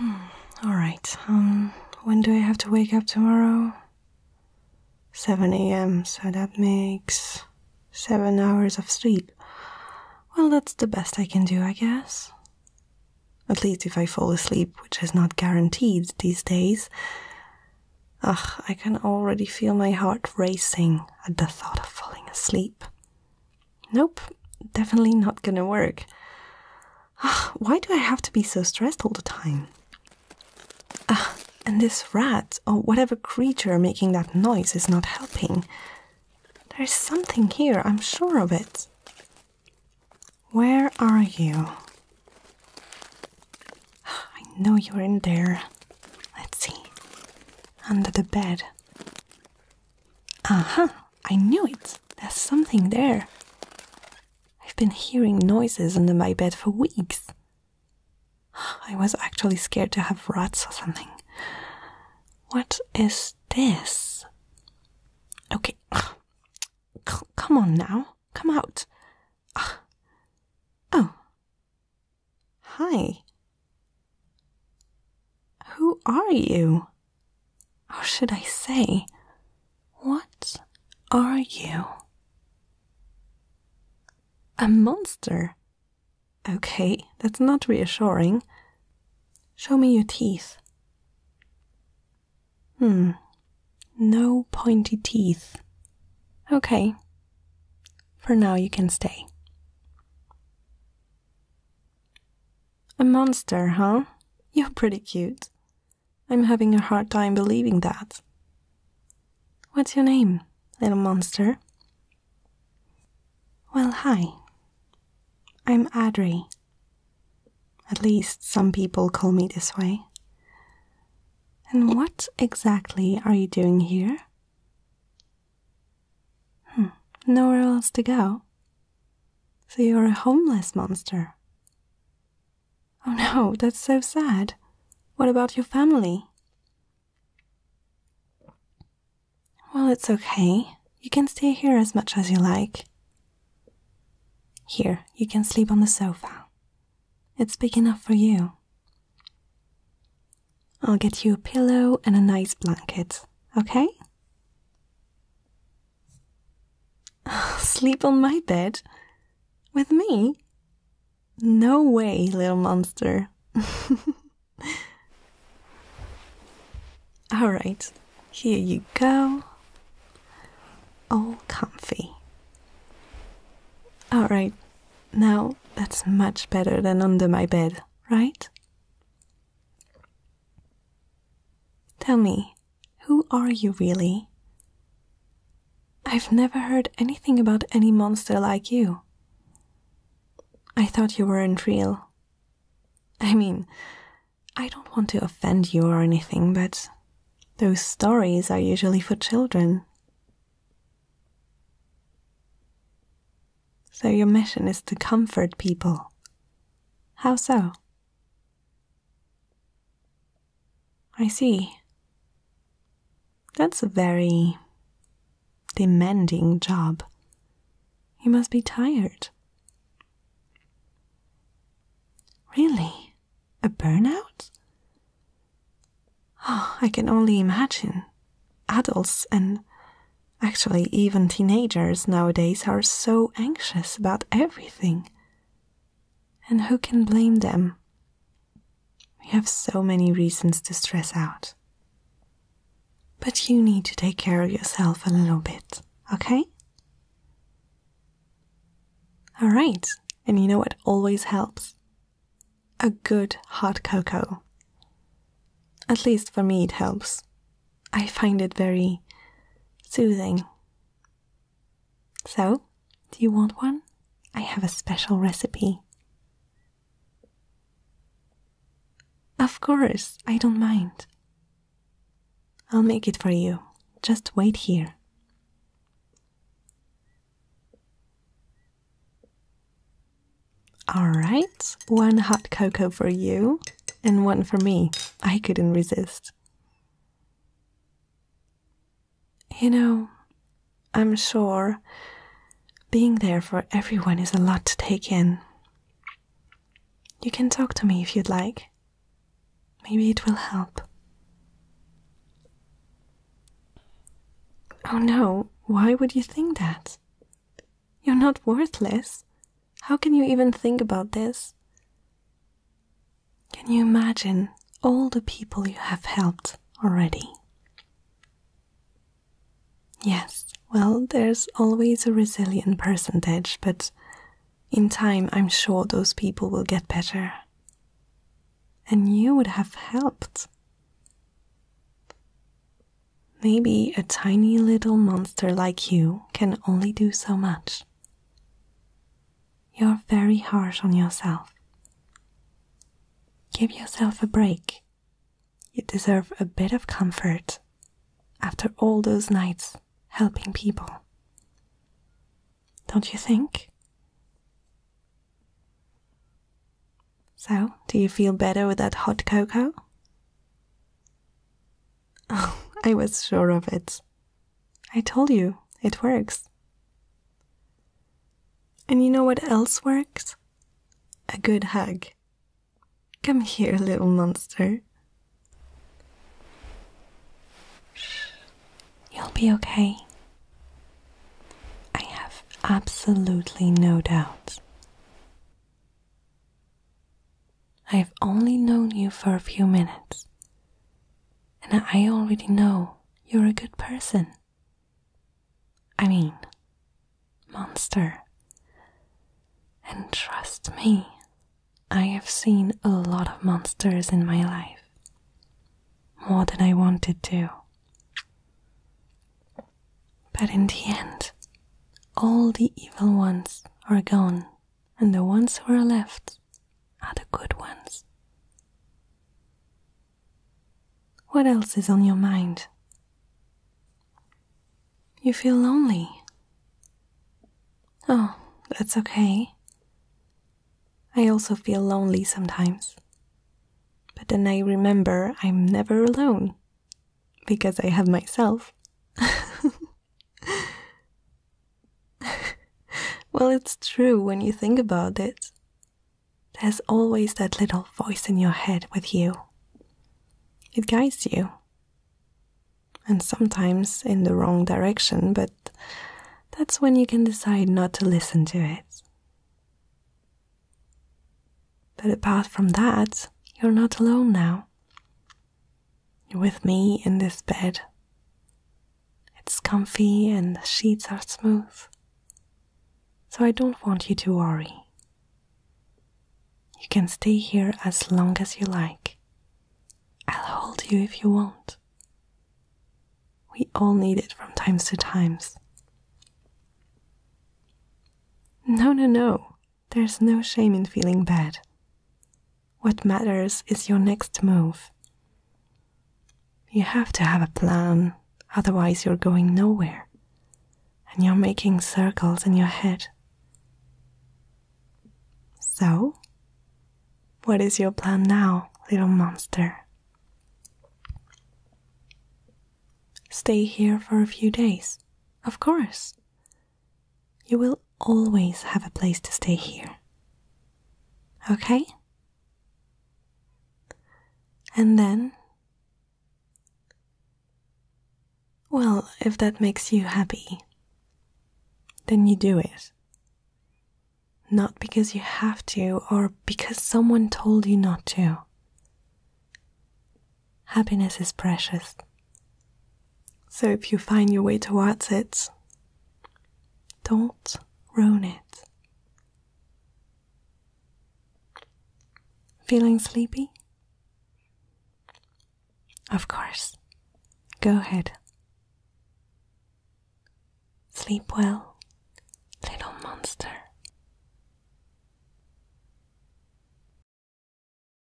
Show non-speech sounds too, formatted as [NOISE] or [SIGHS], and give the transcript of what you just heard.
[SIGHS] Alright, um, when do I have to wake up tomorrow? 7 am, so that makes 7 hours of sleep. Well, that's the best I can do, I guess. At least if I fall asleep, which is not guaranteed these days. Ugh, I can already feel my heart racing at the thought of falling asleep. Nope, definitely not gonna work. Ah, why do I have to be so stressed all the time? Ah, and this rat or whatever creature making that noise is not helping. There's something here, I'm sure of it. Where are you? I know you're in there. Let's see. Under the bed. Aha, uh -huh, I knew it. There's something there. I've been hearing noises under my bed for weeks. I was actually scared to have rats or something. What is this? Okay. [SIGHS] come on now. Come out. [SIGHS] Oh. Hi. Who are you? How should I say, what are you? A monster? Okay, that's not reassuring. Show me your teeth. Hmm, no pointy teeth. Okay, for now you can stay. A monster, huh? You're pretty cute. I'm having a hard time believing that. What's your name, little monster? Well, hi. I'm Adri. At least some people call me this way. And what exactly are you doing here? Hmm, nowhere else to go, so you're a homeless monster. Oh no, that's so sad. What about your family? Well, it's okay. You can stay here as much as you like. Here, you can sleep on the sofa. It's big enough for you. I'll get you a pillow and a nice blanket, okay? [SIGHS] Sleep on my bed? With me? No way, little monster. [LAUGHS] All right, here you go. All comfy. All right, now that's much better than under my bed, right? Tell me, who are you really? I've never heard anything about any monster like you. I thought you weren't real. I mean, I don't want to offend you or anything, but those stories are usually for children. So your mission is to comfort people, how so? I see. That's a very demanding job. You must be tired. Really? A burnout? Oh, [SIGHS] I can only imagine. Adults and Actually, even teenagers nowadays are so anxious about everything. And who can blame them? We have so many reasons to stress out. But you need to take care of yourself a little bit, okay? Alright, and you know what always helps? A good hot cocoa. At least for me, it helps. I find it very soothing. So, do you want one? I have a special recipe. Of course, I don't mind. I'll make it for you. Just wait here. All right, one hot cocoa for you and one for me. I couldn't resist. You know, I'm sure being there for everyone is a lot to take in. You can talk to me if you'd like. Maybe it will help. Oh no, why would you think that? You're not worthless. How can you even think about this? Can you imagine all the people you have helped already? Yes, well, there's always a resilient percentage, but in time I'm sure those people will get better. And you would have helped. Maybe a tiny little monster like you can only do so much. You're very harsh on yourself. Give yourself a break. You deserve a bit of comfort after all those nights helping people. Don't you think? So, do you feel better with that hot cocoa? Oh, [LAUGHS] I was sure of it. I told you, it works. And you know what else works? A good hug. Come here, little monster. Shh. You'll be okay. I have absolutely no doubt. I have only known you for a few minutes, and I already know you're a good person. I mean, monster. And trust me, I have seen a lot of monsters in my life. More than I wanted to. But in the end, all the evil ones are gone and the ones who are left are the good ones. What else is on your mind? You feel lonely. Oh, that's okay. I also feel lonely sometimes. But then I remember I'm never alone because I have myself. [LAUGHS] [LAUGHS] well, it's true when you think about it. There's always that little voice in your head with you, it guides you. And sometimes in the wrong direction, but that's when you can decide not to listen to it. But apart from that, you're not alone now with me in this bed. It's comfy and the sheets are smooth, so I don't want you to worry. You can stay here as long as you like. I'll hold you if you want. We all need it from times to times. No, no, no, there's no shame in feeling bad. What matters is your next move. You have to have a plan, otherwise, you're going nowhere. And you're making circles in your head. So, what is your plan now, little monster? Stay here for a few days, of course. You will always have a place to stay here. Okay? And then. Well, if that makes you happy, then you do it. Not because you have to or because someone told you not to. Happiness is precious. So if you find your way towards it, don't ruin it. Feeling sleepy? Of course. Go ahead. Sleep well, little monster.